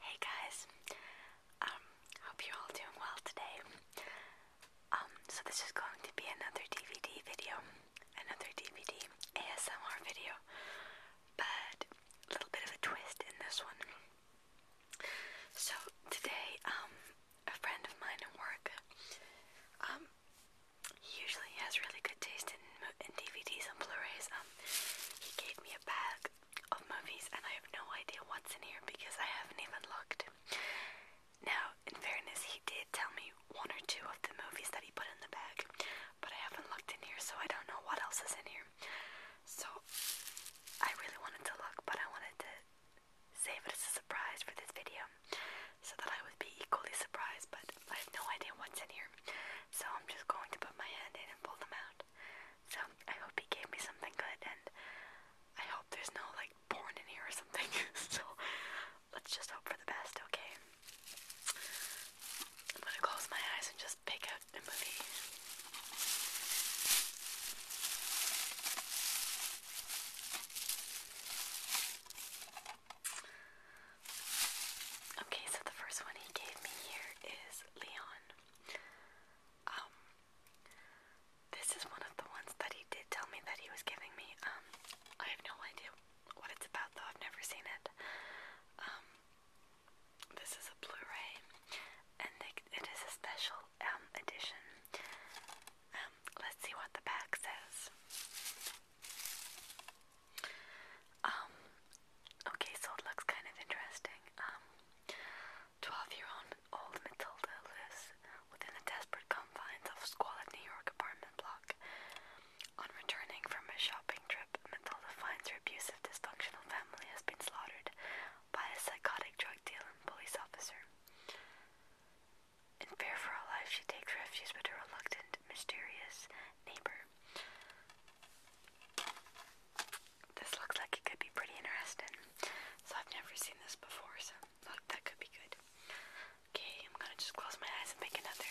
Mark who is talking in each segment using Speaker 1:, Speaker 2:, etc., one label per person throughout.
Speaker 1: Hey guys, um, hope you're all doing well today. Um, so this is going to be another DVD video, another DVD ASMR video, but a little bit of a twist in this one. So today, um, a friend of mine at work, he usually has really good taste in, DVDs and Blu-rays he gave me a bag of movies and I have no idea what's in here because I haven't even looked. Now, in fairness, he did tell me one or two of the movies that he put in the bag, but I haven't looked in here so I don't know what else is in here. So, I really wanted to look, but I wanted to save it as a surprise for this video so that I would be equally surprised, but I have no idea what's in here. So I'm just going to put my hand in and pull them out. So I hope he gave me something good and I hope there's no like porn in here or something. so let's just hope for the best, okay? I'm gonna close my eyes and just pick out a movie. Okay, so the first one he gave me here is Leon. Um, this is one of the ones that he did tell me that he was giving me. Um, I have no idea what it's about though, I've never seen it. Um, this is a Blu-ray, and it is a special edition. let's see what the back says. Um, okay, so it looks kind of interesting. Um, 12 year old Matilda lives within the desperate confines of a squalid New York apartment block. On returning from a shopping trip, Matilda finds her abusive, dysfunctional family has been slaughtered by a psychotic drug dealing police officer. In fear for her life, she takes refuge with her reluctant, mysterious neighbor this looks like it could be pretty interesting. So I've never seen this before, so look, that could be good. Okay, I'm gonna just close my eyes and make another.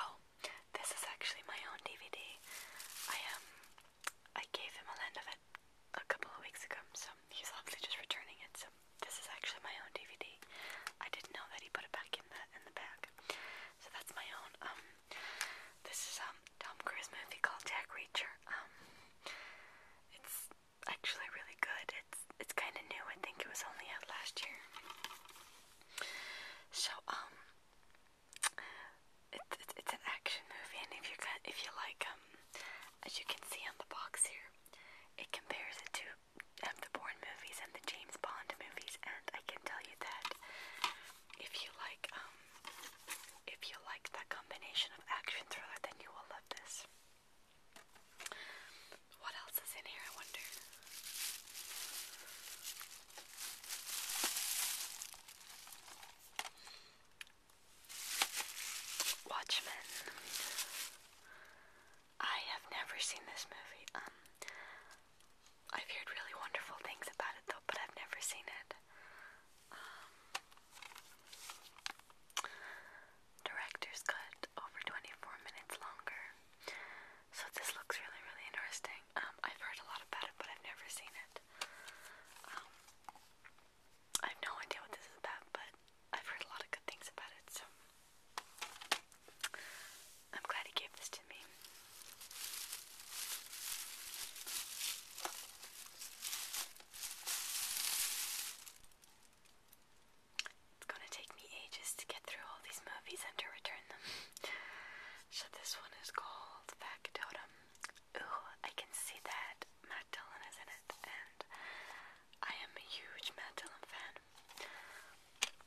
Speaker 1: Oh, this is actually my own DVD. I um I gave him a lend of it a couple of weeks ago, so um, he's obviously just returning it. So this is actually my own DVD. I didn't know that he put it back in the in the bag. So that's my own. Um, this is um Tom Cruise movie called Jack Reacher. Um, it's actually really good. It's it's kind of new. I think it was only out last year. So um, it's it, it's an action movie, and if you if you like um, as you can see on the box here, it compares it to um, the Bourne movies and the James Bond movies, and I can tell you that if you like, um, if you like that combination of action thriller, then you will love this. What else is in here? I wonder. Watchmen. I have never seen this movie. Um, I've heard really wonderful things about it though, but I've never seen it. Um, director's cut, over 24 minutes longer. So this looks really, really interesting. Um, I've heard a lot about it, but I've never seen it. Um, I have no idea what this is about, but I've heard a lot of good things about it, so I'm glad he gave this to me. It's gonna take me ages to get through all these movies and to return them. so this one is called Factotum. Ooh, I can see that Matt Dillon is in it, and I am a huge Matt Dillon fan.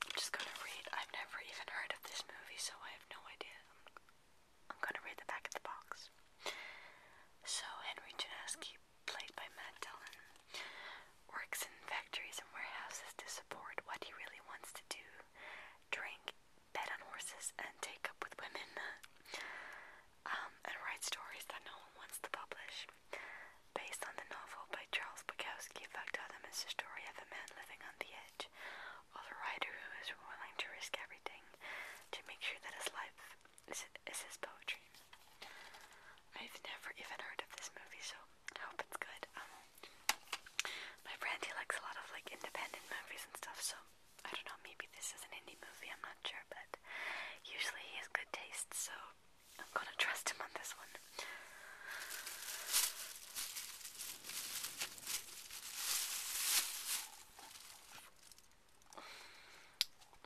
Speaker 1: I'm just gonna read. I've never even heard of this movie, so I have no idea. I'm, gonna read the back of the box. So, Henry Janaski, played by Matt Dillon, works in factories and warehouses to support what he really wants to do drink, bet on horses, and take up with women. Um, and write stories that no one wants to publish. Based on the novel by Charles Bukowski, Factotum is the story of a man living on the edge, of a writer who is willing to risk everything to make sure that his life is, his poetry. I've never even heard of this movie, so I hope it's good. Um, my friend, likes a lot of like independent movies and stuff, so I don't know, maybe this is an indie movie, I'm not sure, but usually he has good taste, so I'm gonna trust him on this one.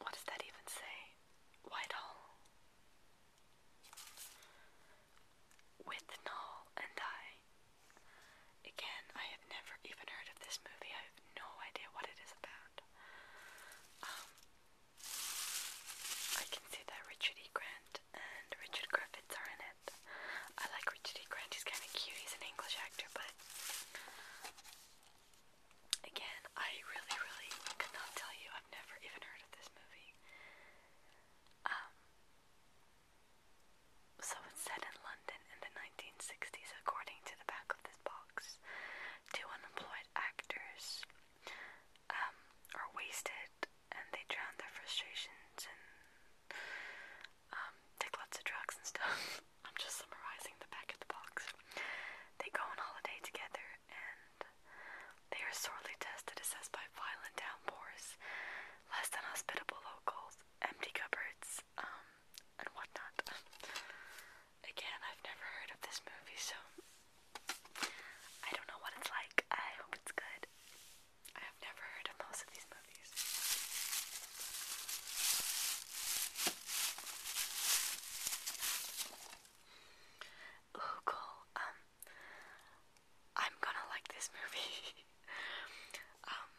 Speaker 1: What does that even say? Whitehall. With Null and I. Again, I have never even heard of this movie. I have no idea what it is about. Um, I can see that Richard E. Grant and Richard Griffiths are in it. I like Richard E. Grant, he's kind of cute, he's an English actor, but again, I really, really could tell you. I've never even heard of this movie. Um, so it's set in London. London in the 1960s, according to the back of this box. Two unemployed actors um, are wasted and they drown their frustrations and um, take lots of drugs and stuff. I'm just summarizing the back of the box. They go on holiday together and they are sorely tested, assessed by violent downpours, less than hospitable locals, empty cupboards, um, and whatnot. Again, I've never heard of this movie, so I don't know what it's like. I hope it's good. I have never heard of most of these movies. Ooh, cool. Um, I'm gonna like this movie. um,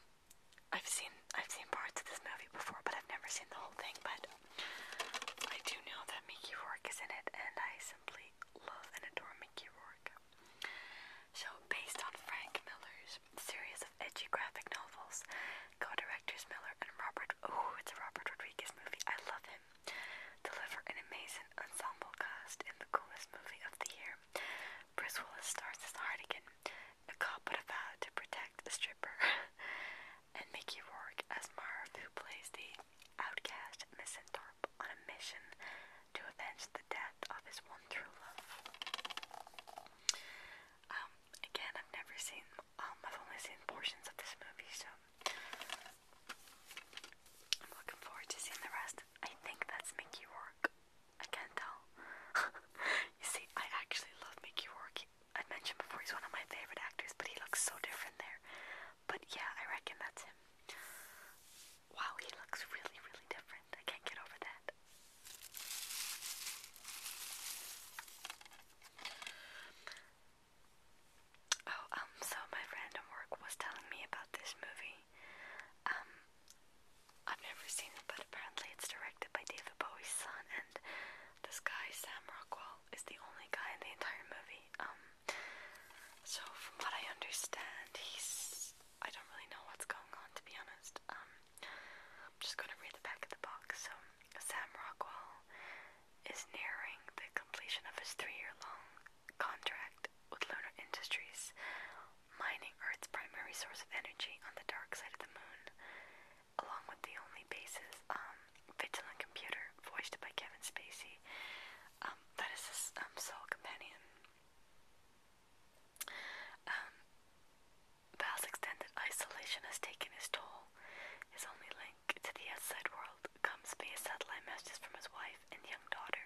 Speaker 1: I've seen I've seen parts of this movie before, but I've never seen the whole thing. But I do know that Mickey Rourke is in it, and I simply love and adore Mickey Rourke. So, based on Frank Miller's series of edgy graphic novels, co-directors Miller and Robert. Oh, it's Robert Rodriguez movie. I love him. Deliver an amazing ensemble cast in the coolest movie of the year. Bruce Willis stars as Hardigan a cop would have vowed to protect the stripper, and Mickey Rourke as Marv, who plays the outcast misanthrope on a mission to avenge the death of his one true love. Um, again, I've never seen, um, I've only seen portions of this movie, so I'm looking forward to seeing the rest. I think that's Mickey Rourke. I can't tell. you see, I actually love Mickey Rourke. I mentioned before he's one of my favorite actors, but he looks so different there. But yeah, I reckon that's him. Wow, he looks really, really different. I can't get over that. Oh, um, so my friend work was telling me about this movie. Um, I've never seen it, but apparently it's directed by David Bowie's son, and this guy, Sam Rockwell, is the only guy in the entire movie. Um, so from what I understand, he's. I don't really know what's going on, to be honest. Um, I'm just gonna read the back of the box. So, Sam Rockwell is nearing the completion of his three year long contract with Lunar Industries mining Earth's primary source of energy on the dark side of the moon, along with the only basis, um, Vigilant Computer, voiced by Kevin Spacey, um, that is his um, sole companion. Um, extended isolation has taken his toll. His only link to the outside world comes via satellite messages from his wife and young daughter.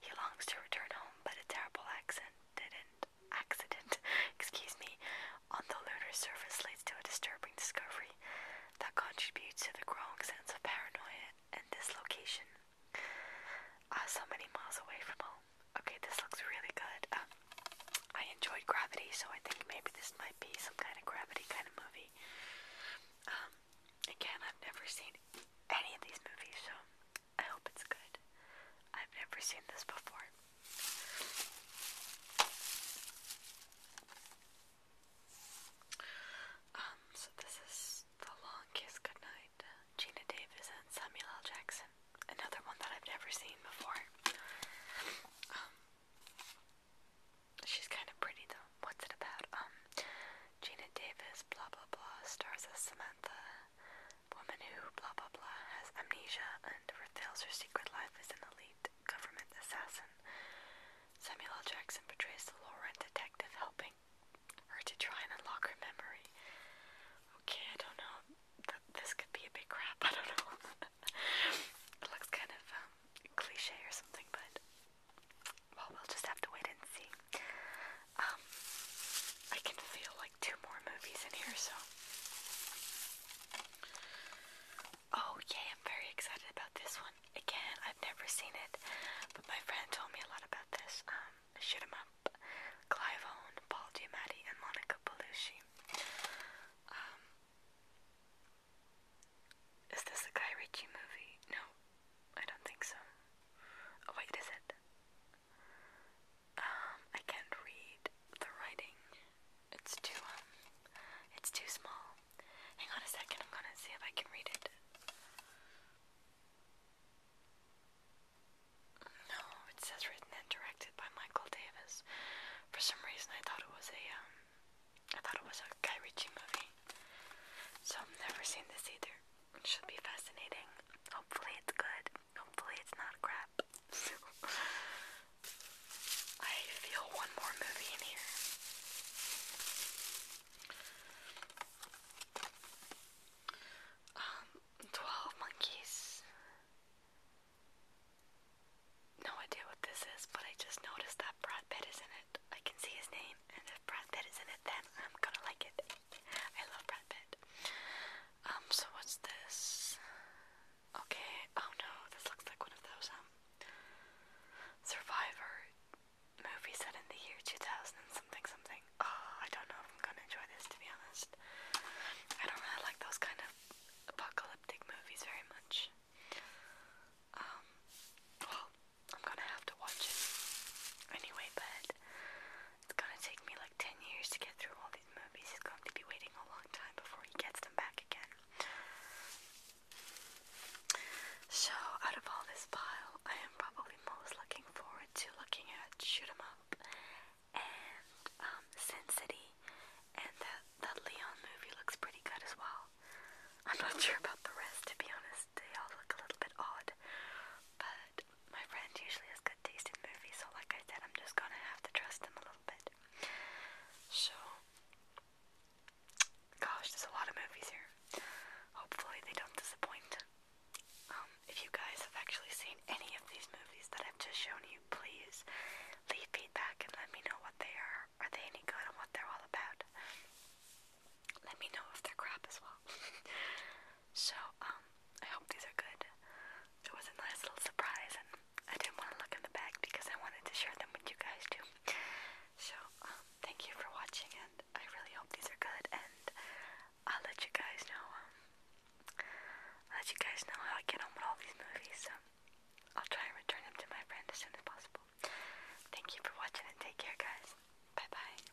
Speaker 1: He longs to return home, but a terrible accident accident, excuse me, on the lunar surface leads to a disturbing discovery that contributes to the growing sense of paranoia and dislocation. Uh, ah, so many miles away from home. Okay, this looks really good. Um, I enjoyed Gravity, so I think maybe this might be some kind of Gravity kind of movie. Um, again, I've never seen any of these movies, so I hope it's good. I've never seen this before. Um, so this is The Long Kiss Goodnight. Gina Davis and Samuel L. Jackson. Another one that I've never seen before. Um, she's kind of pretty though. What's it about? Um, Gina Davis, blah blah blah, stars as Samantha woman who blah blah blah has amnesia and reveals her secret life as an elite government assassin. Samuel Jackson portrays the law and detective helping her to try and unlock her memory. Okay, I don't know. this could be a big crap. I don't know. it looks kind of um, cliche or something, but well, we'll just have to wait and see. Um, I can feel like two more movies in here, so. Oh, yay, I'm very excited about this one. Again, I've never seen it, but my friend told me a lot about this. Um, Shoot 'em Up, Clive Owen, Paul Giamatti, and Monica Bellucci. Um, is this a Guy Ritchie movie? No, I don't think so. Oh, wait, is it? Um, I can't read the writing. It's too um it's too small. Hang on a second, I'm gonna see if I can read it. No, it says written and directed by Michael Davis. For some reason I thought it was a um I thought it was a Guy Ritchie movie. So I've never seen this either. It should be fascinating. Hopefully it's good. Hopefully it's not crap. I feel one more movie in here. Um, twelve Monkeys. No idea what this is, but I just noticed that Brad Pitt is in it. I can see his name, and if Brad Pitt is in it, then I'm gonna like it. I love Brad Pitt. Um, so what's this? Okay, oh no, this looks like one of those, um, Survivor movie set in the year 2000 something something. Oh, I don't know if I'm gonna enjoy this, to be honest. I don't really like those kind of apocalyptic movies very much. Um, well, I'm gonna have to watch it anyway, but it's gonna take me like 10 years to get through all these movies. He's going to be waiting a long time before he gets them back again. So, out of all this pile, I am probably most looking forward to looking at Shoot 'em Up and um, Sin City, and that, that Leon movie looks pretty good as well. I'm not sure about the rest, to be honest. They all look a little bit odd, but my friend usually has good taste in movies, so like I said, I'm just gonna have to trust him a little bit. So, gosh, there's a lot of movies here. Hopefully, they don't disappoint. Um, if you guys have actually seen any of these movies that I've just shown you, please leave feedback and let me know what they are. Are they any good and what they're all about? Let me know if they're crap as well. so, um, I hope these are good. It was a nice little surprise, and I didn't want to look in the bag because I wanted to share them with you guys too. So, um, thank you for watching, and I really hope these are good, and I'll let you guys know, um, I'll let you guys know how I get on with all these movies, so I'll try and return them to my friend as soon as possible. Thank you for watching, and take care, guys. Bye-bye.